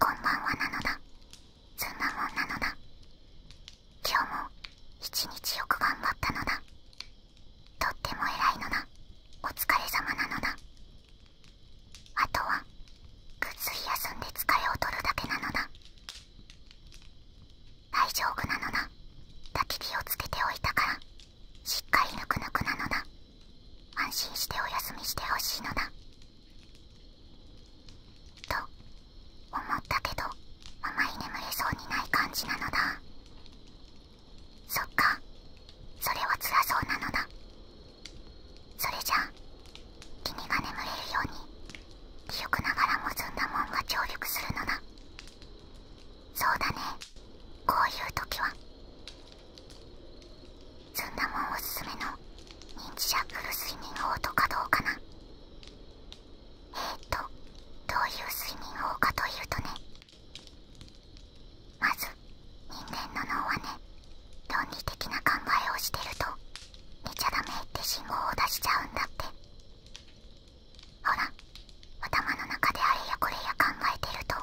こんばんはなのだそんなもんなのだ今日も一日よく頑張ったのだとっても偉いのだお疲れ様なのだあとはぐっすり休んで疲れを取るだけなのだ大丈夫なのだ焚き火をつけておいたからしっかりぬくぬくなのだ安心してお休みしてほしいのだと思ったけどあまり眠れそうにない感じなのだそっかそれは辛そうなのだそれじゃ君が眠れるように記憶ながらもずんだもんが上陸するのだそうだねこういう時はずんなもんおすすめの認知シャッフル睡眠法とかどうかなえっとどういう睡眠法かというとねまず人間の脳はね論理的な考えをしてると寝ちゃダメって信号を出しちゃうんだってほら頭の中であれやこれや考えてると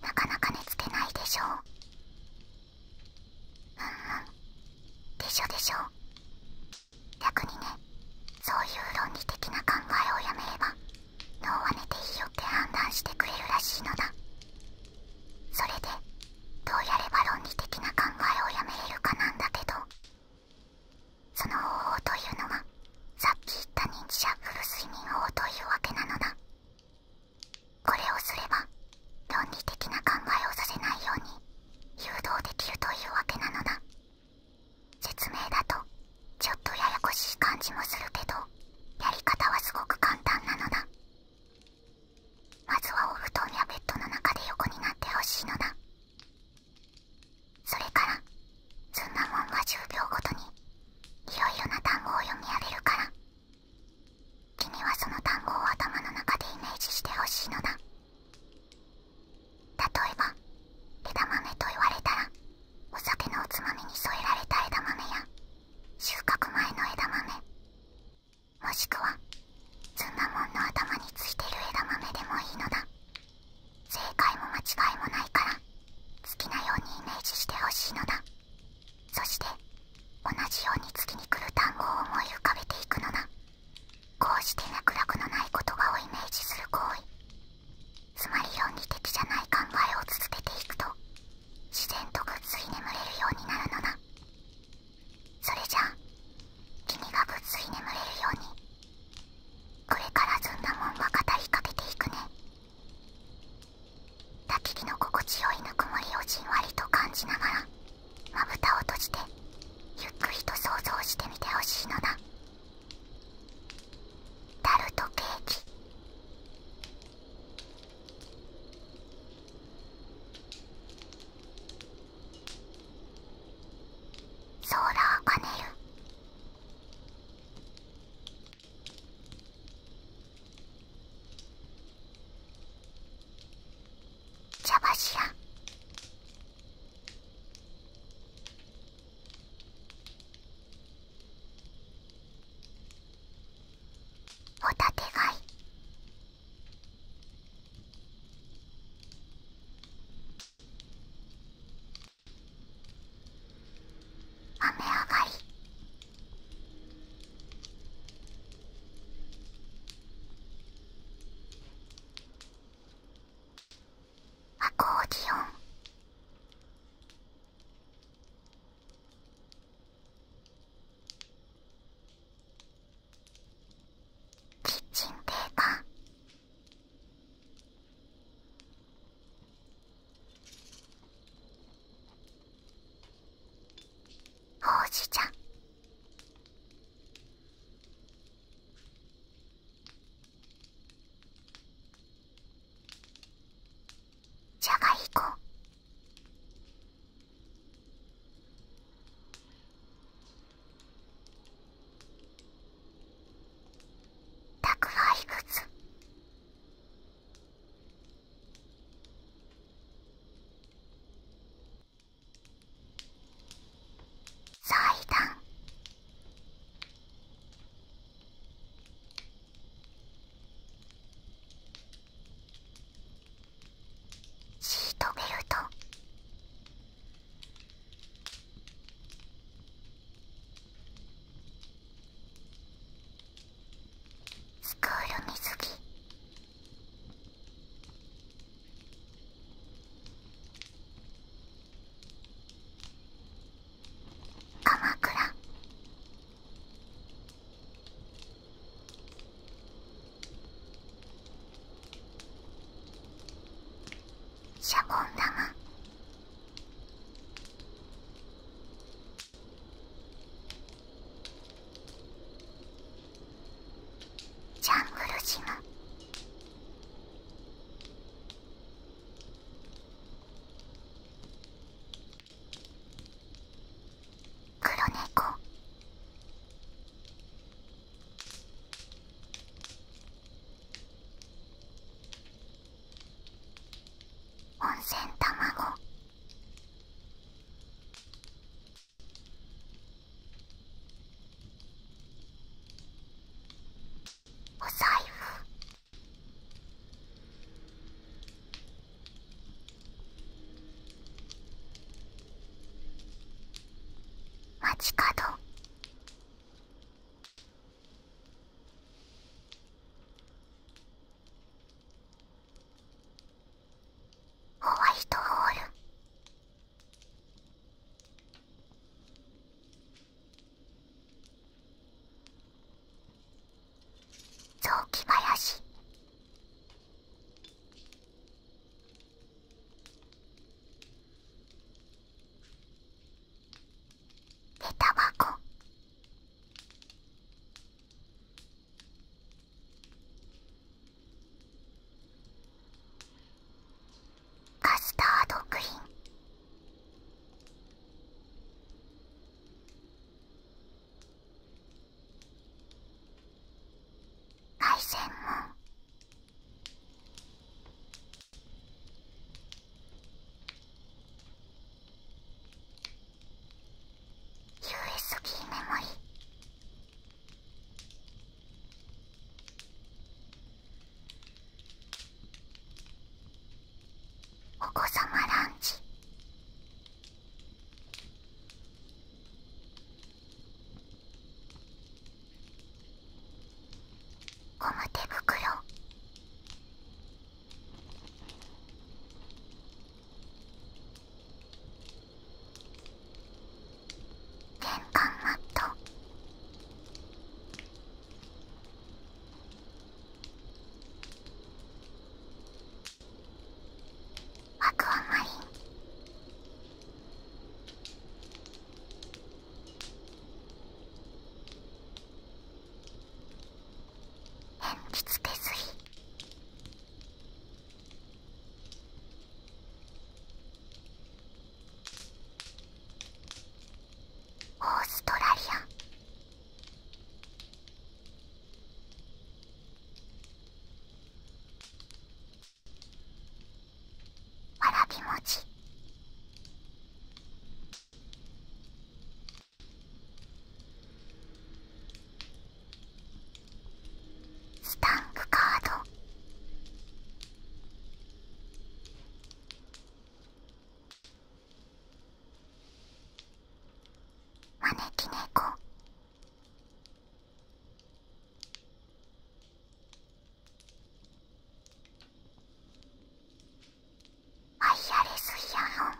なかなか寝つけないでしょううんうんでしょでしょ逆にねそういう論理的な考えをやめれば脳は寝ていいよって判断してくれるらしいのだそれでどうやれば論理的な考えをやめれるかなんだけどその方法というのはさっき言った認知症フル睡眠法というわけなのだこれをすれば論理的な考えをさせないように誘導できるというわけなのだ説明だとちょっとややこしい感じもするけどやり方はすごく簡単なのだまずはお布団やベッドの中で横になってほしいのだそれからずんなもんは10秒ごとにいろいろな単語を読み上げるから君はその単語を頭の中でイメージしてほしいのだ例えば枝豆と言われたらお酒のおつまみに添えられた枝豆や収穫前の枝豆もしくはずんなもんの頭についてる枝豆でもいいのだ正解も間違いもないから好きなようにイメージしてほしいのだそして同じように月に来る単語を思い浮かべていくのだこうして脈絡のない言葉をイメージする行為つまり論理的じゃない考えを続けていくと自然とぐっすり眠れるようになるのだそれじゃあ君がぐっすり眠れるようにこれからずんなもんは語りかけていくね焚き火の心地よいぬくもりをじんわりと感じながらまぶたを閉じてゆっくりと想像してみてほしいのだタルトケーキソーラーパネル茶柱ホタテ貝雨上がりアコーディオンキッチンペーパーほうじ茶。じゃがいこ宅配靴祭壇シートベルトスクール水着鎌倉シャボン玉ジャングル島、黒猫温泉卵お財布街角ホワイトホール雑木林でタバコカスタードクリーン海鮮も USB メモリお子様ランチゴム手袋玄関マットアクアマリン鉛筆手すりオーストラリアわらび餅スタンクカード招き猫ワイヤレスイヤホン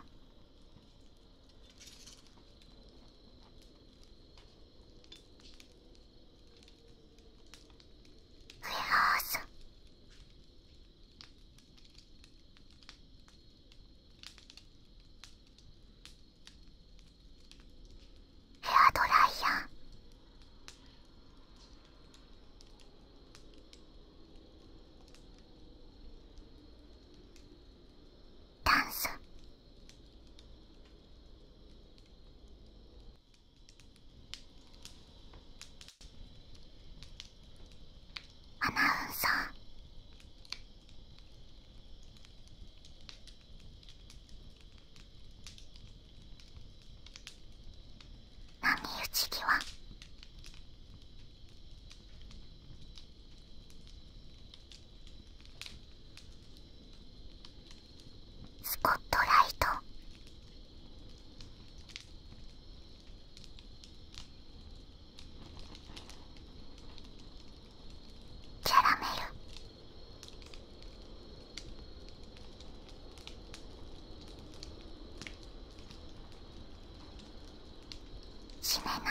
ウェハースェアドライヤーダンスアナウンサー波打ち際スポットライトキャラメルしめ縄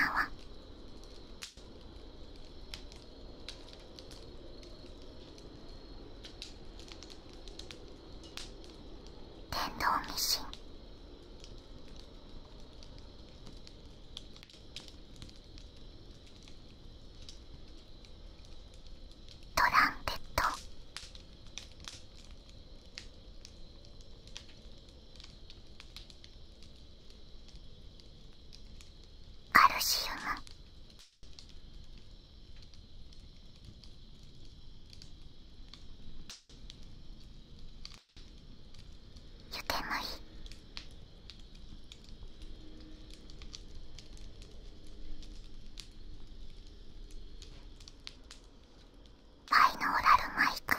電動ミシントランペットカルシウムゆてむいバイノーラルマイク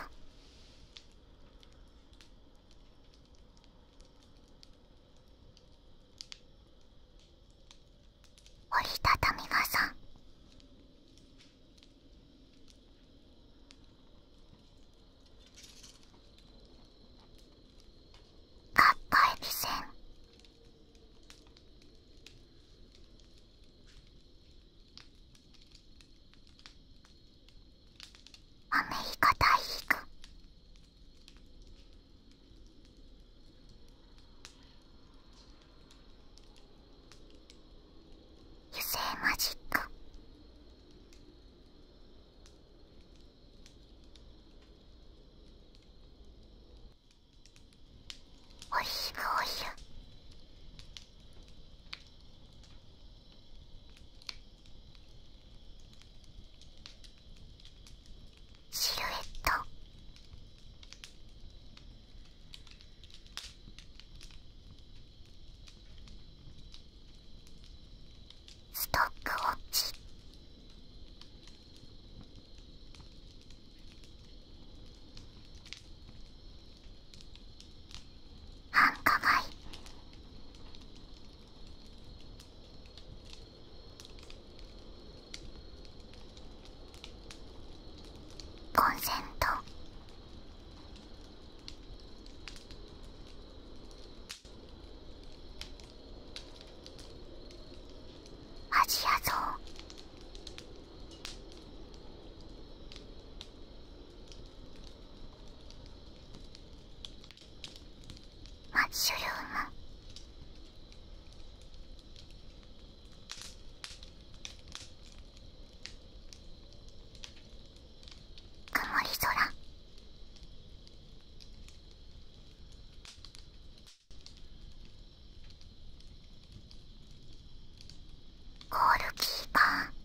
折りたたみ傘カッパエアメリカ大陸油性マジックお昼お昼シルエットストックウォッチあんかコンセントアジアゾウ。マッシュルーム曇り空ゴールキーパー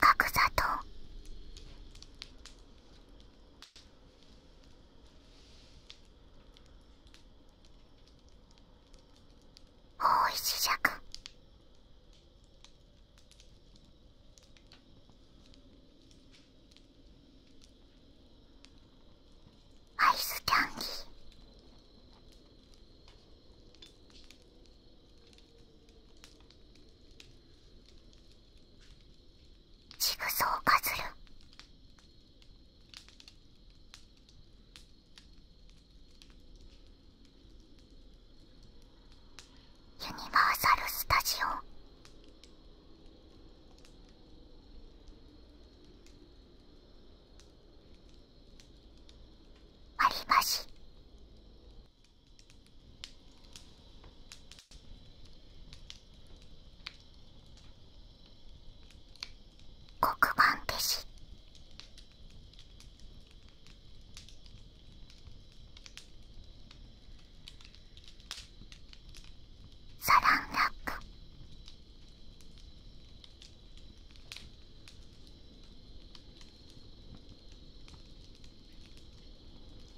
格差と方位磁石アイスキャンディージグソーパズルユニバーサル・スタジオ割り箸黒板消しサランラック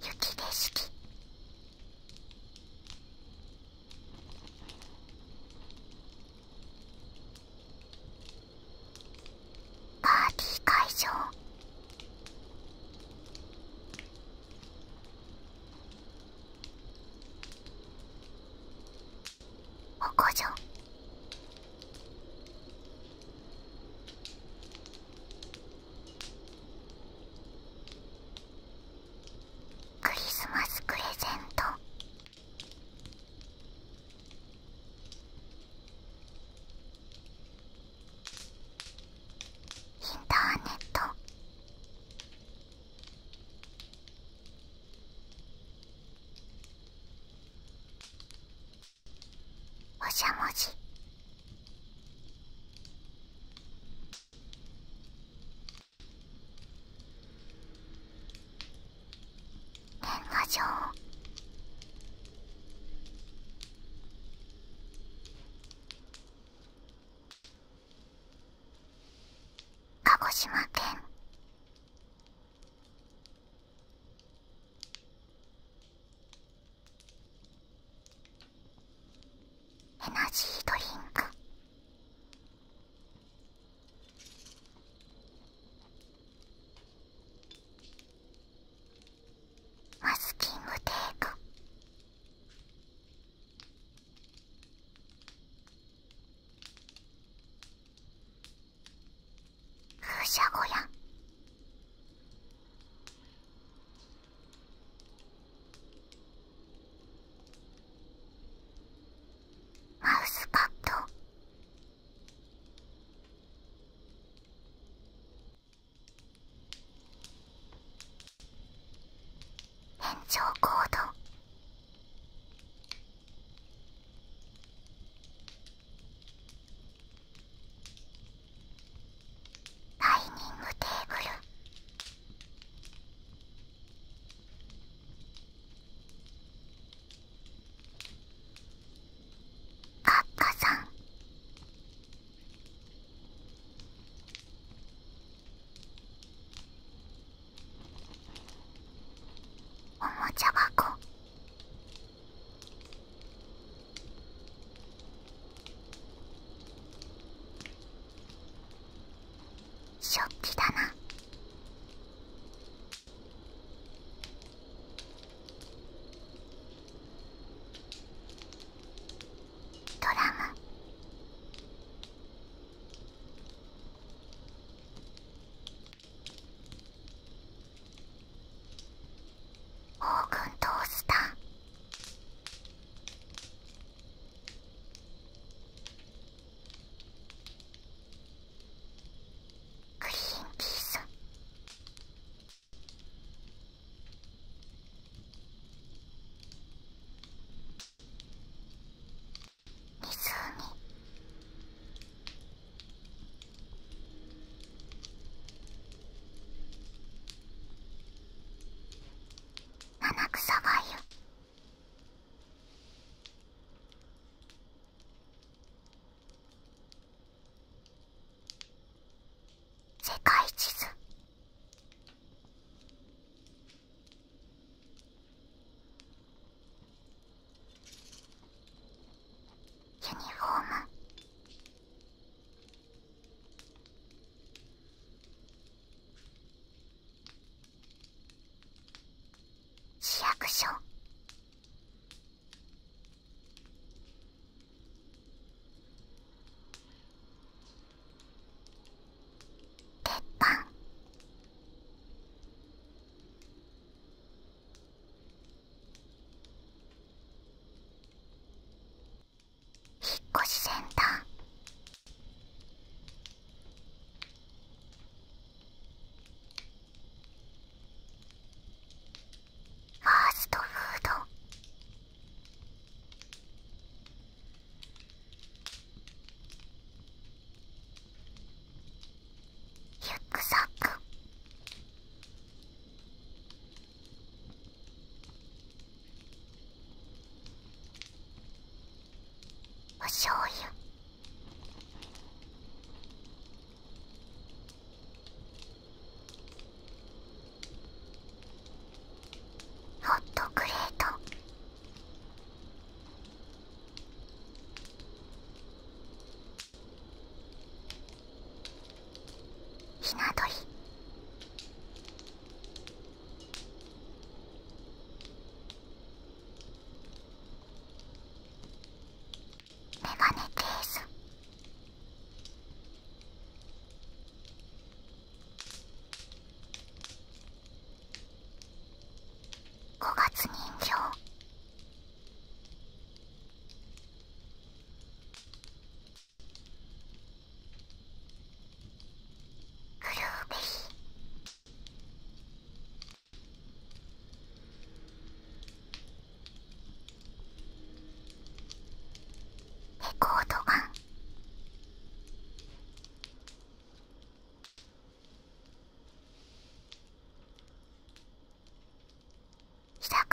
雪景色パーティー会場おこじょクリスマスプレゼントインターネットおしゃもじ年賀状鹿児島県エナジードリンクマスキングテープ風車小屋マウスカッド延長コーダイニングテーブルあっかさんおもちゃ箱食器だなドラムオーグントースタークリーンキース七草がゆ世界地図ユニフォーム市役所鉄板引っ越しセンターファーストフードユックサックおしょうゆ。ホットクレートひな鳥メガネです5月人形グルーベヒレコードガン居酒屋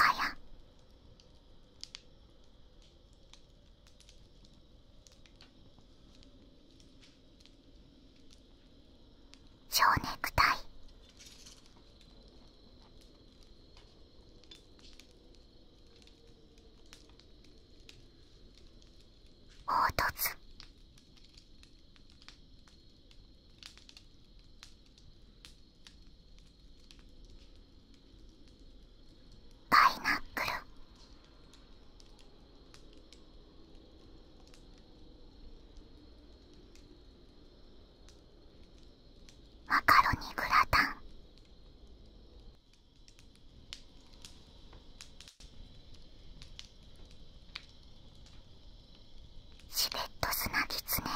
蝶ネクタイ凹凸パイナップルマカロニグラタンシベット砂キツネ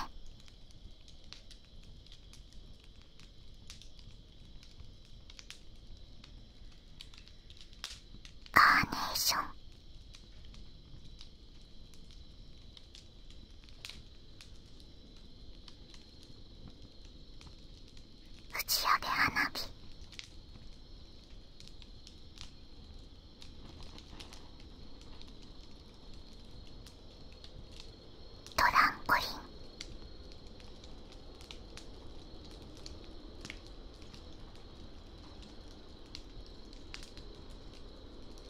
カーネーション打ち上げ花火トランポリン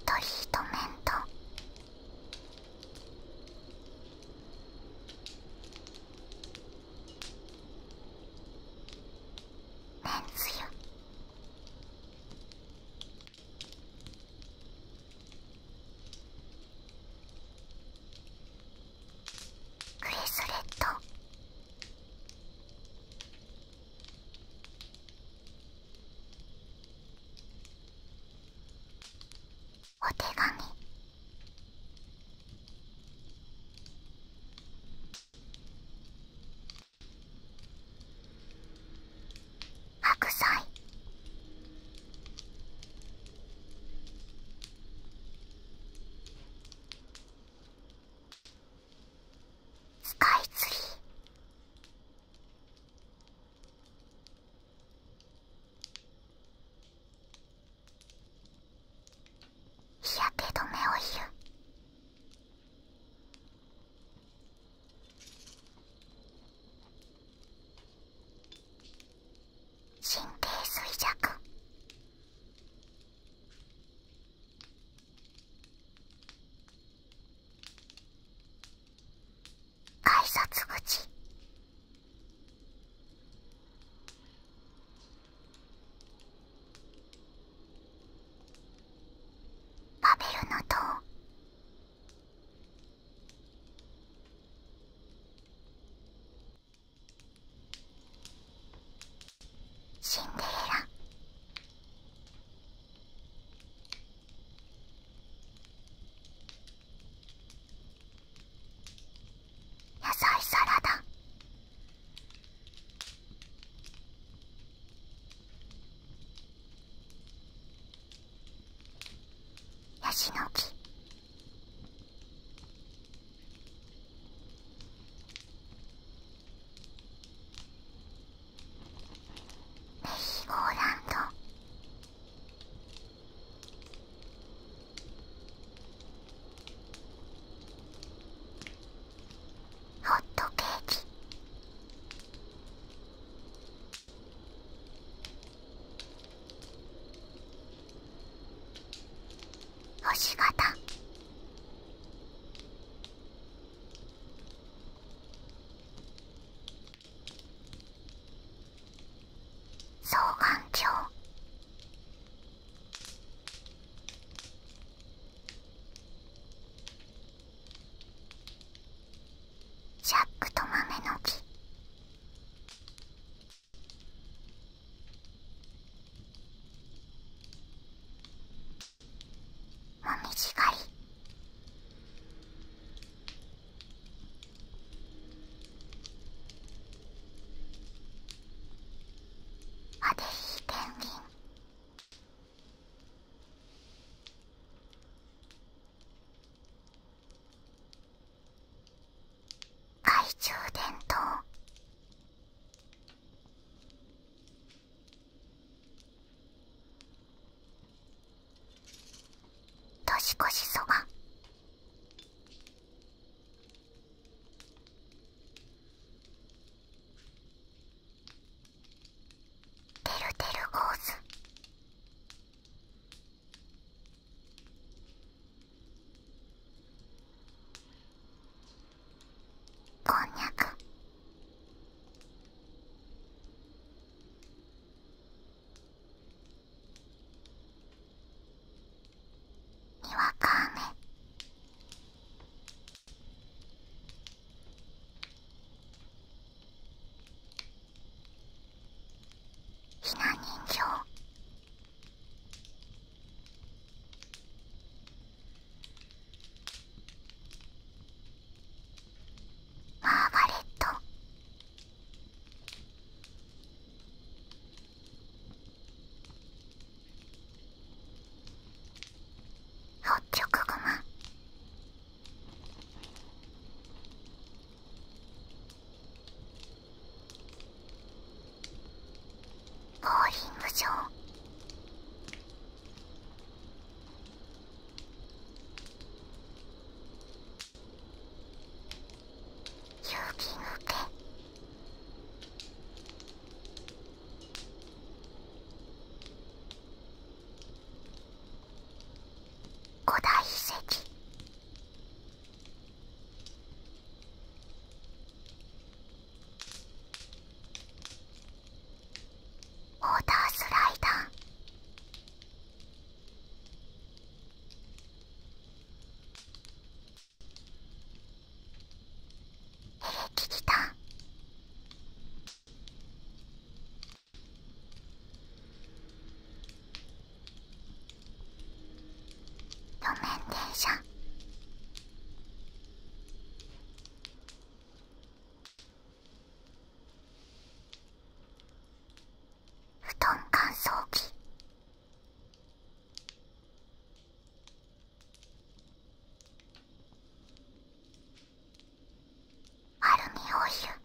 トリートメントメンズよブレスレットお手紙白菜スカイツリー日焼け止めを言う神経衰弱挨拶口バベルの塔シンデレラ野菜サラダヤシの木メリーゴーランドホットケーキ星形双眼鏡ジャックと豆の木もみじ狩りあでいいペンギン懐中電灯年越しそばてるてるゴーズこんにゃくにわか雨ひな人形マーガレットホッチョクグマボウリング場気の手古代遺跡ウォータースライダー聞きた路面電車布団乾燥機アルミホイル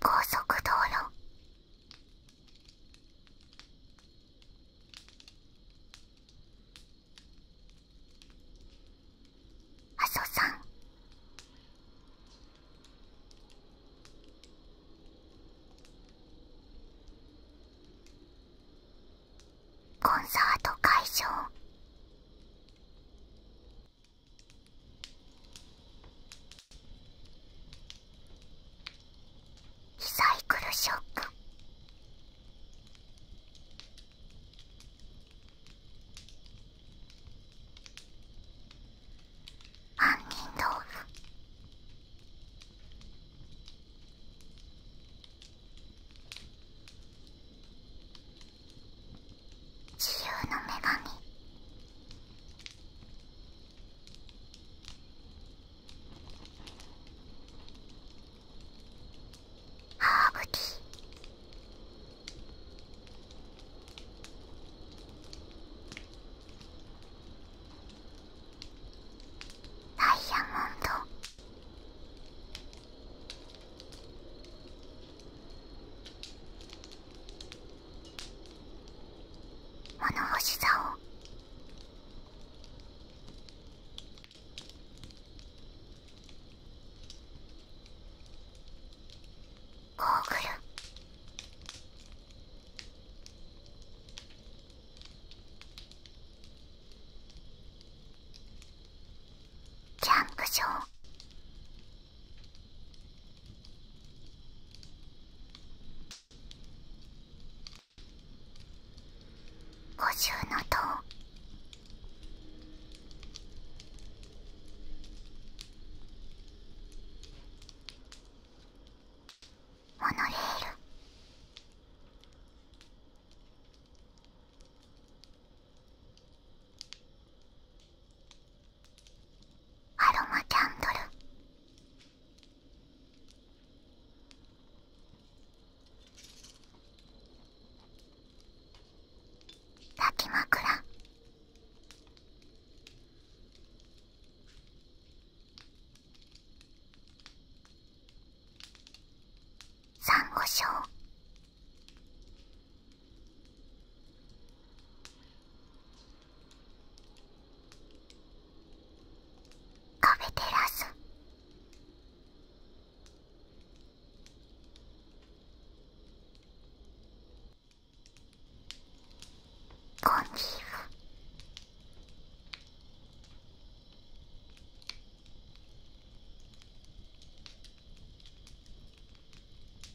高速道路麻生さんコンサート会場リサイクルショック杏仁豆腐自由の女神ハーブティーダイヤモンド物干し竿ゴーグルキャンプ場五重の塔モノレールアロマキャンドル抱き枕サンゴ礁カフェテラスコンギーフ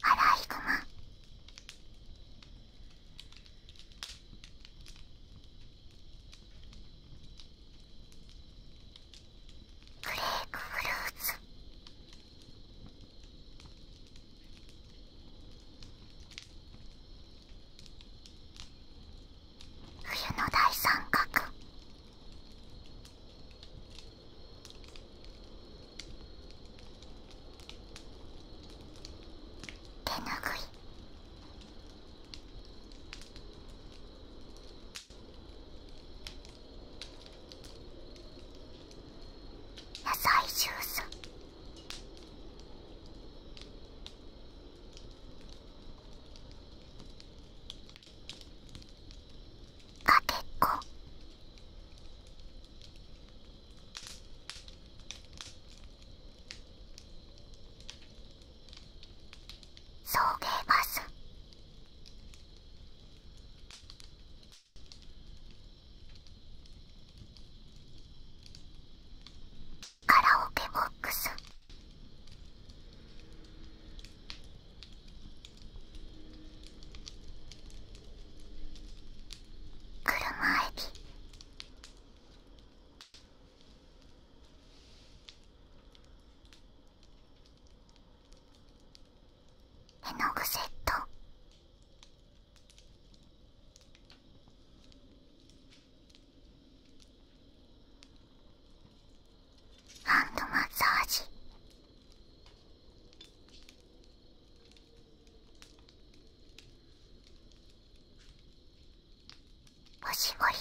アライグマブレークフルーツ冬の大三角手ぬぐい野菜ジュースかけっこ送迎バスカラオケボックス車駅絵の具セットハンドマッサージおしぼり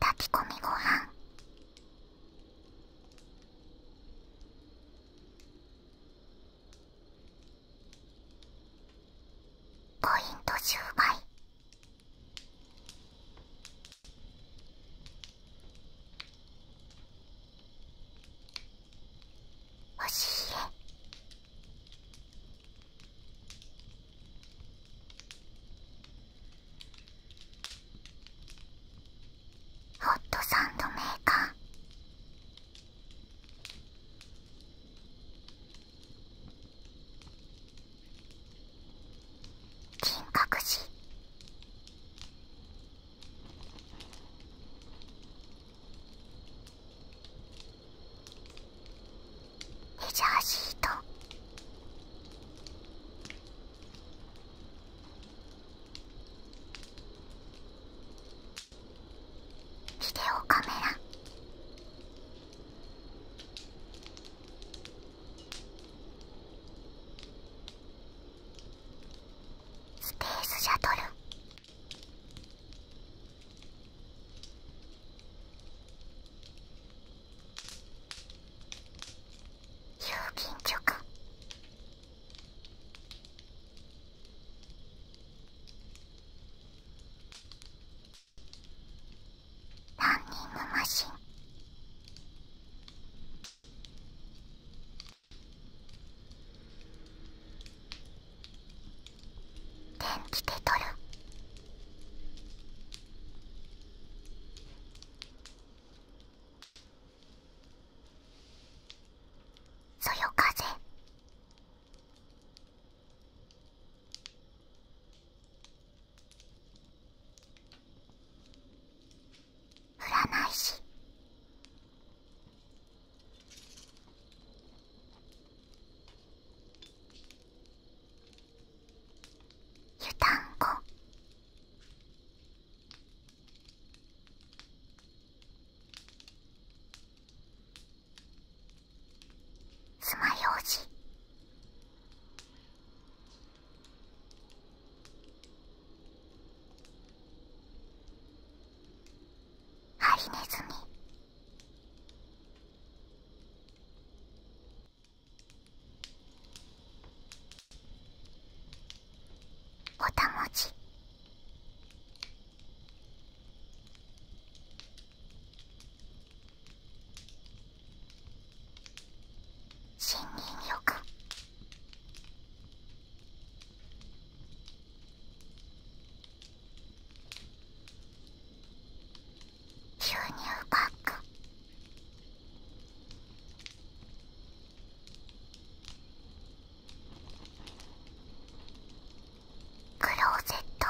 炊き込みごはんポイント１０倍。おしいえホットサンドメーカー金閣寺メジャーシートビデオカメラスペースシャトル郵便局ランニングマシン電気テトル。そよ風占い師湯たんこつまようじハリネズミおたもち信任欲牛乳パッククローゼット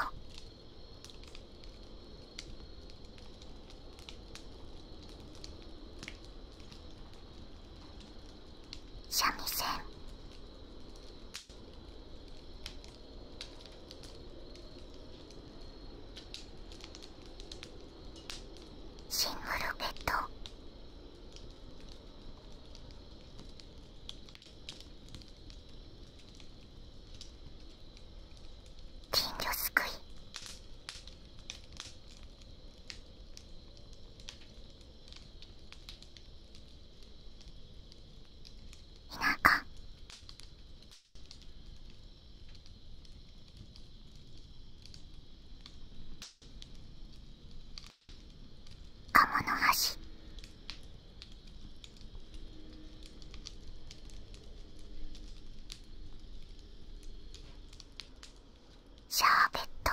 三味線シングルベッド金魚すくい田舎鴨の橋シャーベット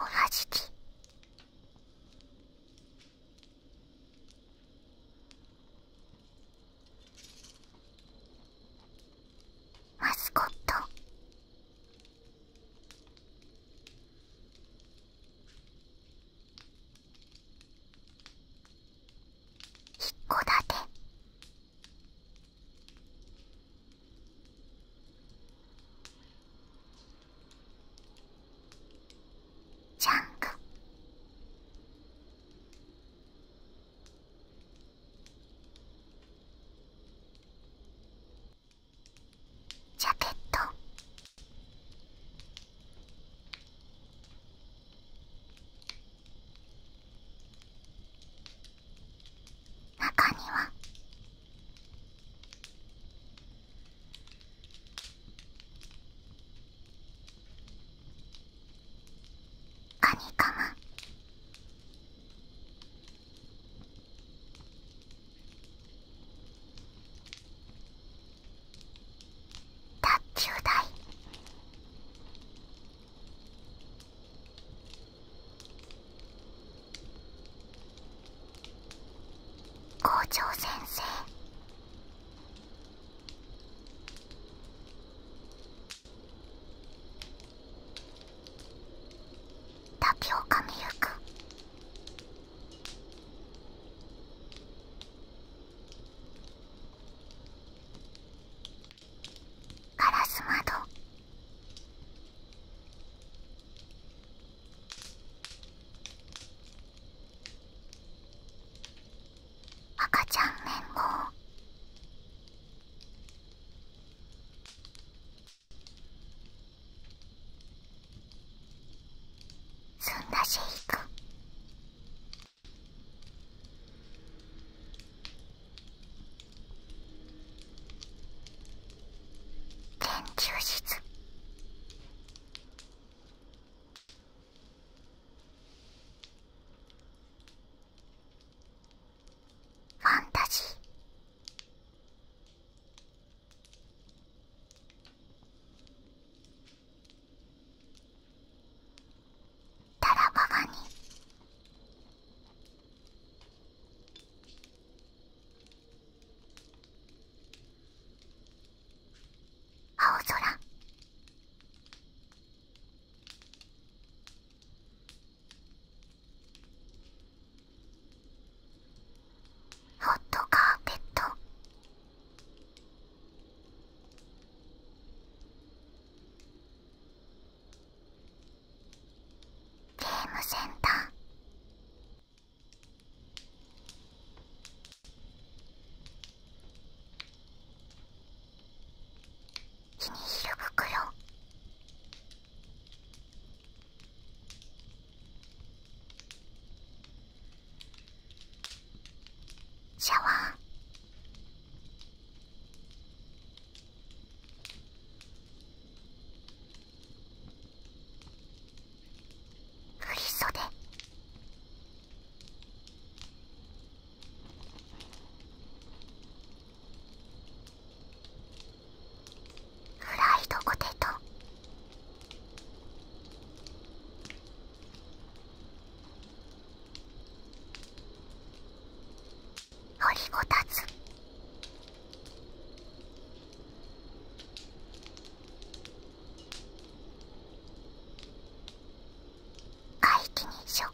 同じきマスコット一戸だてジャンク。ジャケット中にはカニカマ卓球台校長先生滝をかみゆくガラス窓赤ちゃん連合そんなシェイク研究室ファンタジータラバガニ青空ホットカーペットゲームセンタービニール袋シャワー振り袖フライドポテト掘りごたつ怪奇日食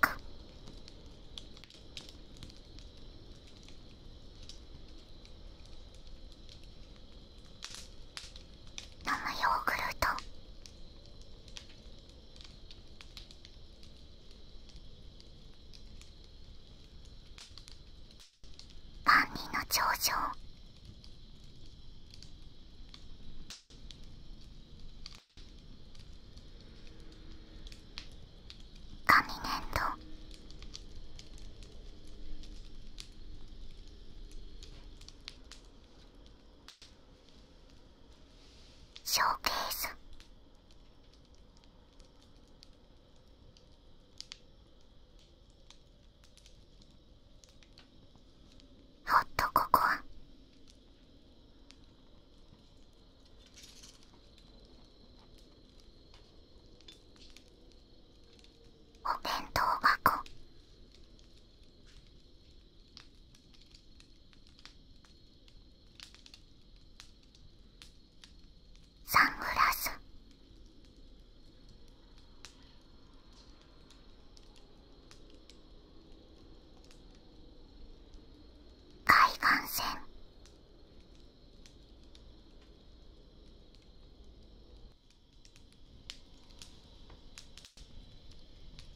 飲むヨーグルト万人の頂上紙粘土ショーケースホっと、ここは。お弁当箱サングラス海岸線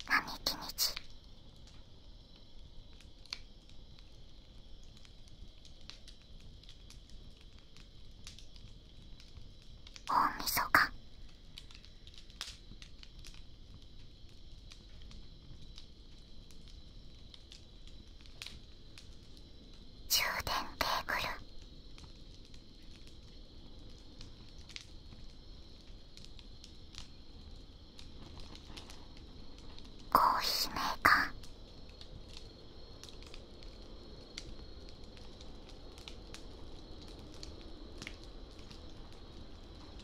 並木道大みそか充電テーブルコーヒーメーカー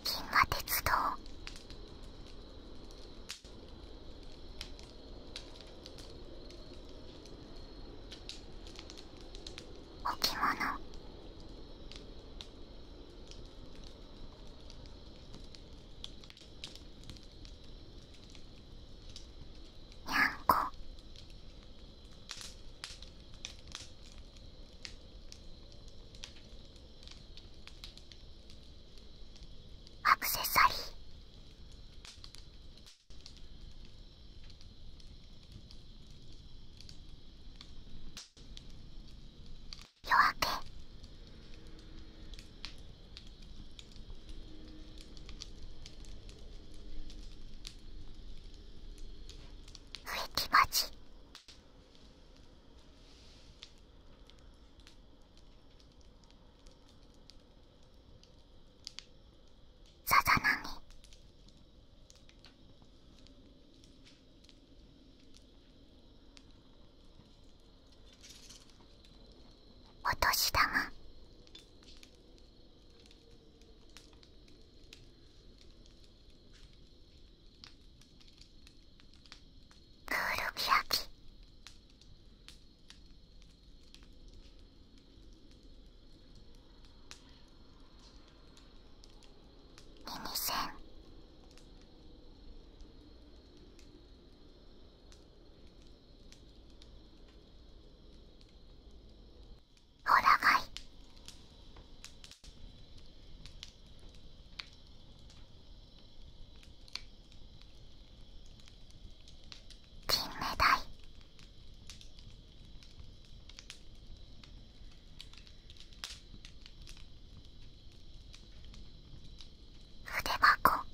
銀河鉄道お着物にゃんこアクセサリー夜明け植木町。さざ波お年玉クールケヤキ耳栓ほらがい金目鯛筆箱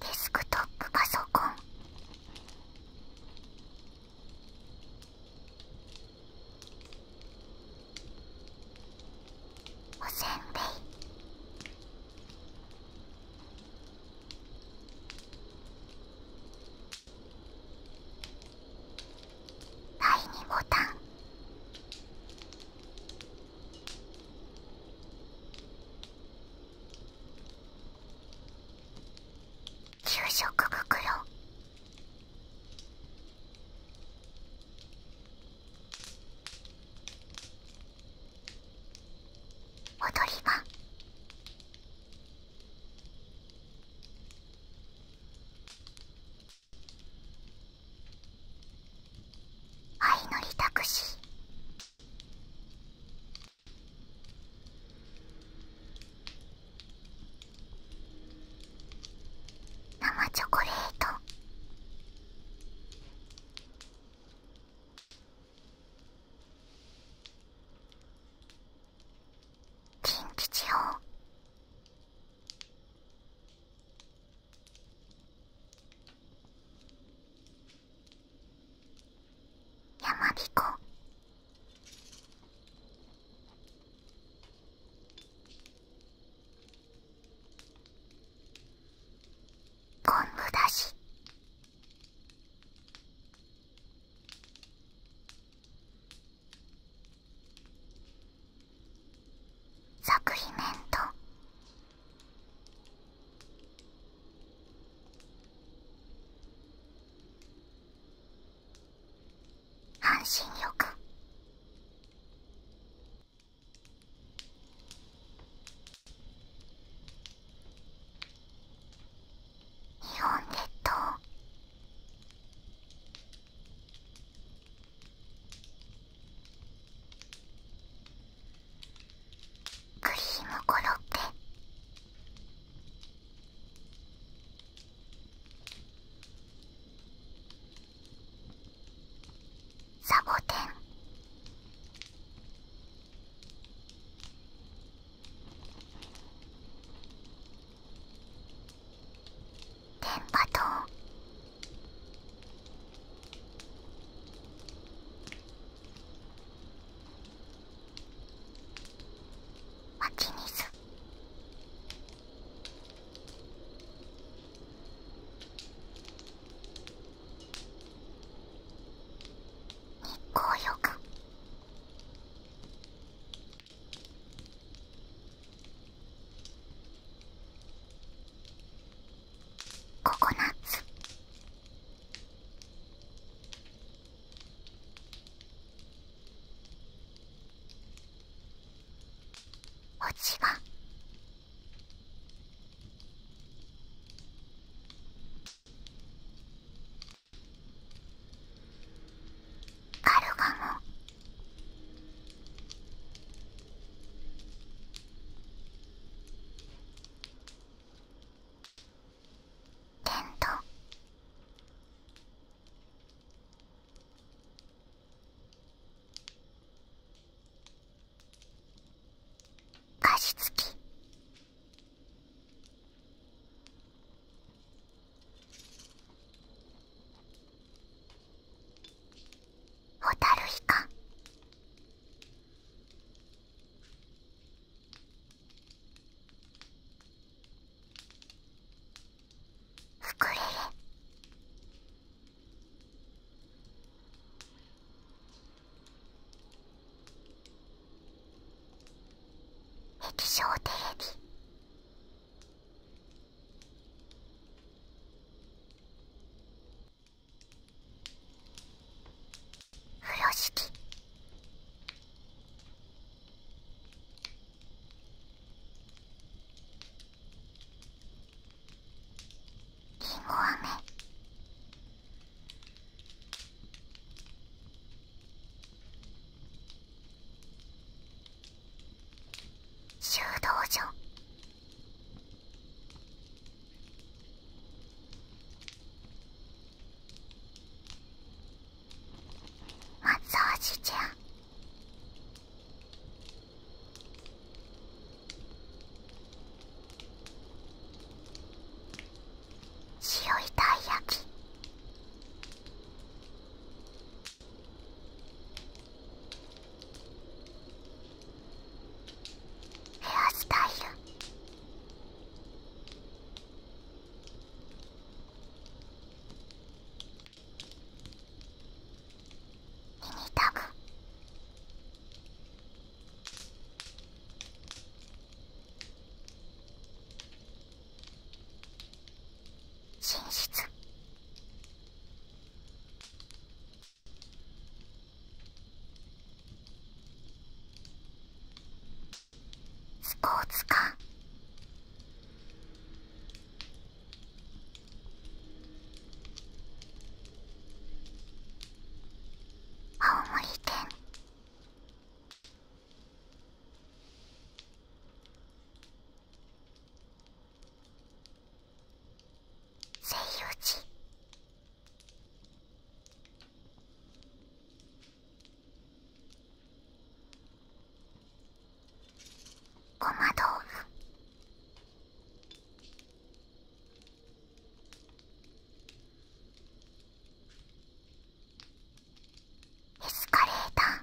デスクトップパソコンおせんべい第2ボタン給食袋踊り場愛のりたくし。生チョコレート近畿やまびこ。昆布だしサ作品面と半身浴日本列島クリームコロッケサボテン電波塔湧き水日光浴ココナッツ落ち葉カルガモ電ン加湿器蛍タルイウクレ液晶テレビ風呂敷りんご飴修道場松ッサちゃん。塩アいたい焼きヘアスタイルミニタグ寝室スポーツ館青森県西遊寺ごま豆腐エスカレーター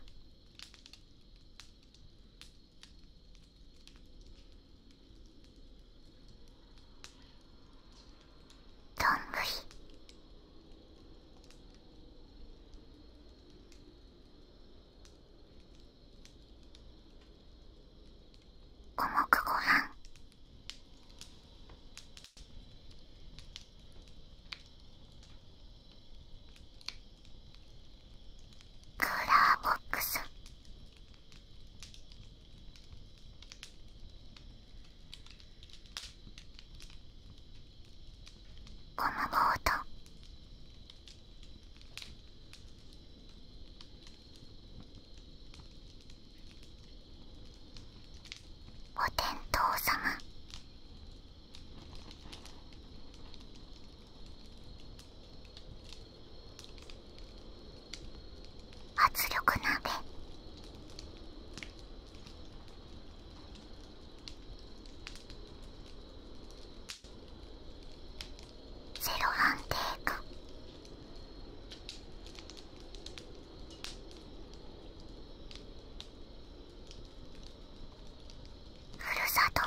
どんぐり五目ごはん。クーラーボックスゴムボートお天道様圧力鍋ゼロ安定かふるさと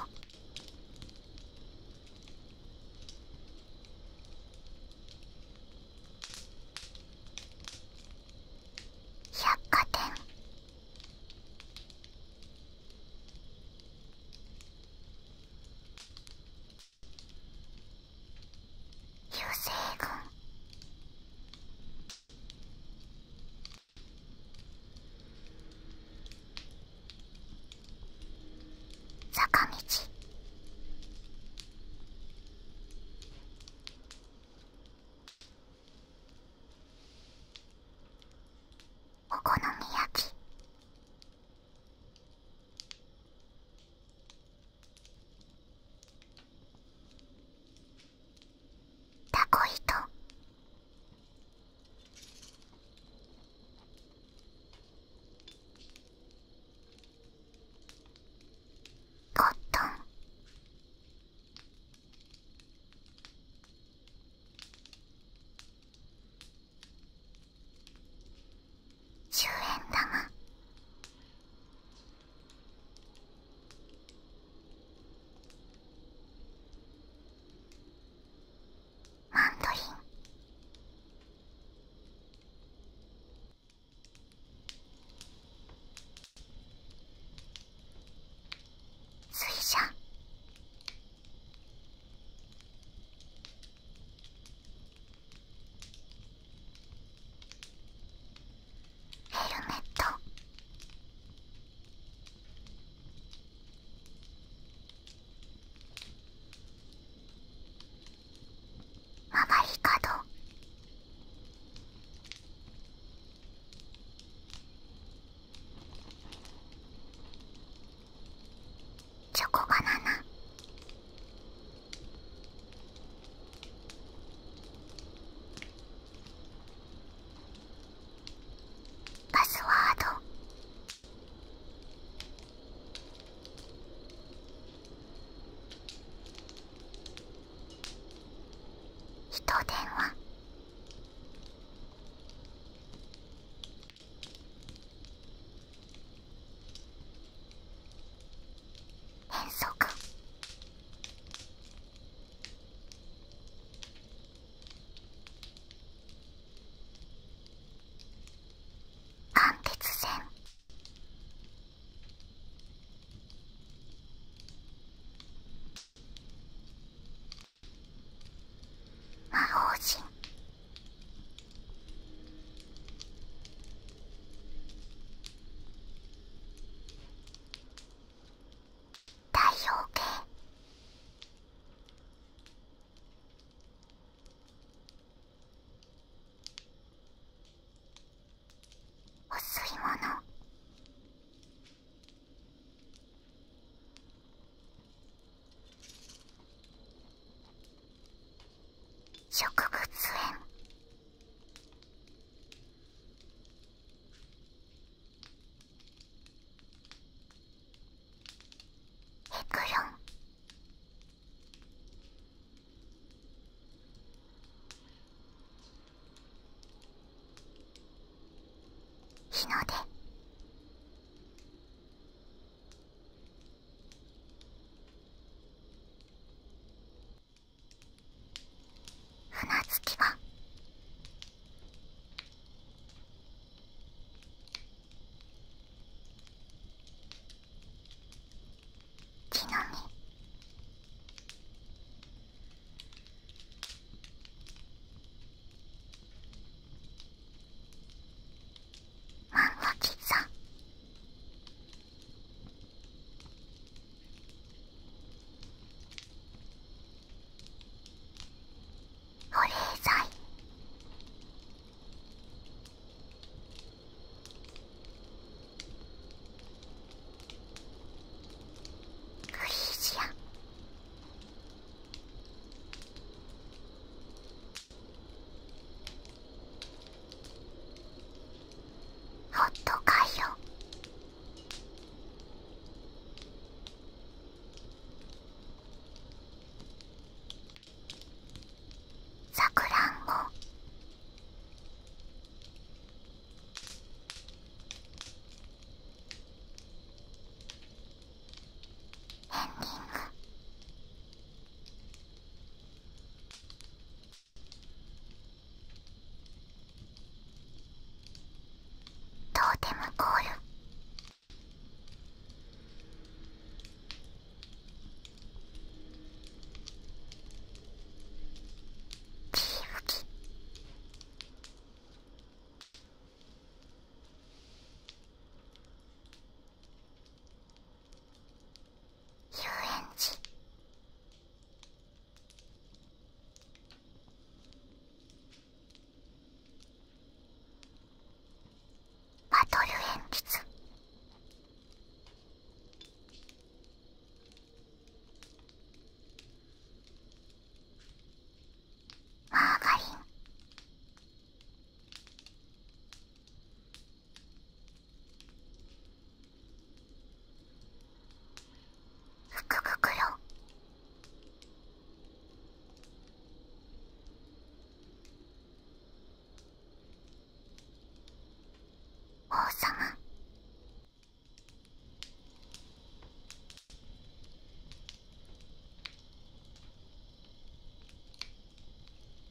百貨店優勢群坂道お好み焼きタコ糸コットン10円玉マンドリン水車ヘルメット曲がり角チョコバナナパスワード人電話変則貫鉄線魔法陣太陽系お吸い物植物園エクロン日の出船月は。場木の実マンゴキさん保冷剤ージアンホットカイロさくらんぼトーテムコール遊園地》《バトル鉛筆マーガリンふく王様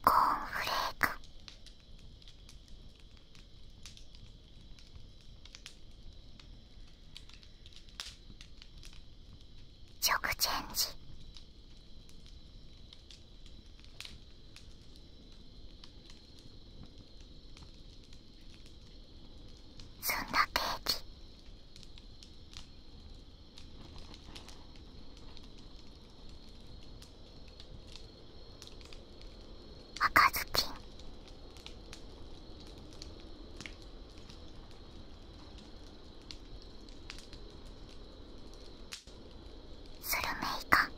コーンフレーク食チェンジそんなケーキ赤ずきんスルメイカ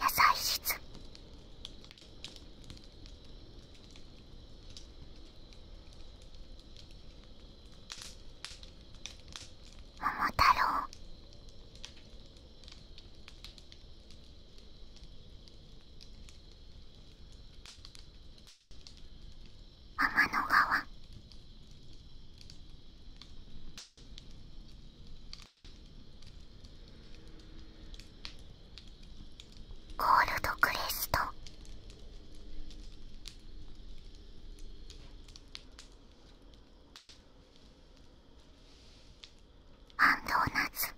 野菜室桃太郎天の川ゴールドクレスト安藤夏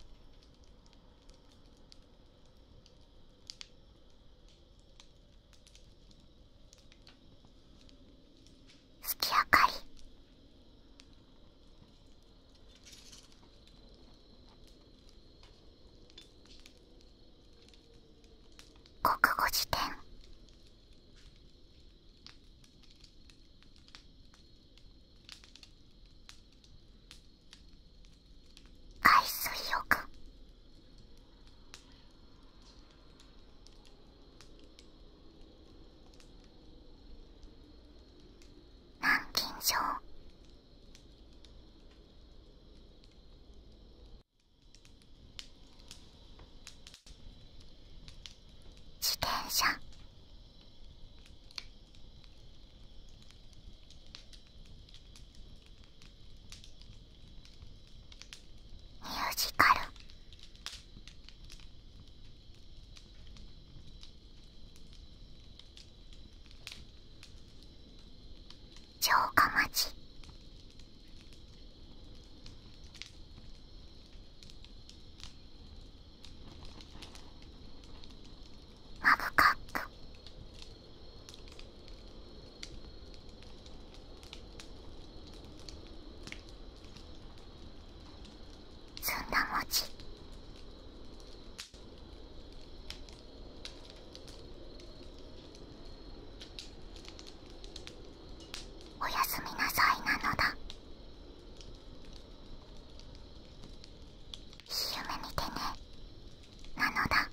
月明かり国語辞典ア水浴、南京錠自転車ミュージカル城下町マブカック。ずんだ餅おやすみなさいなのだいい夢見てねなのだ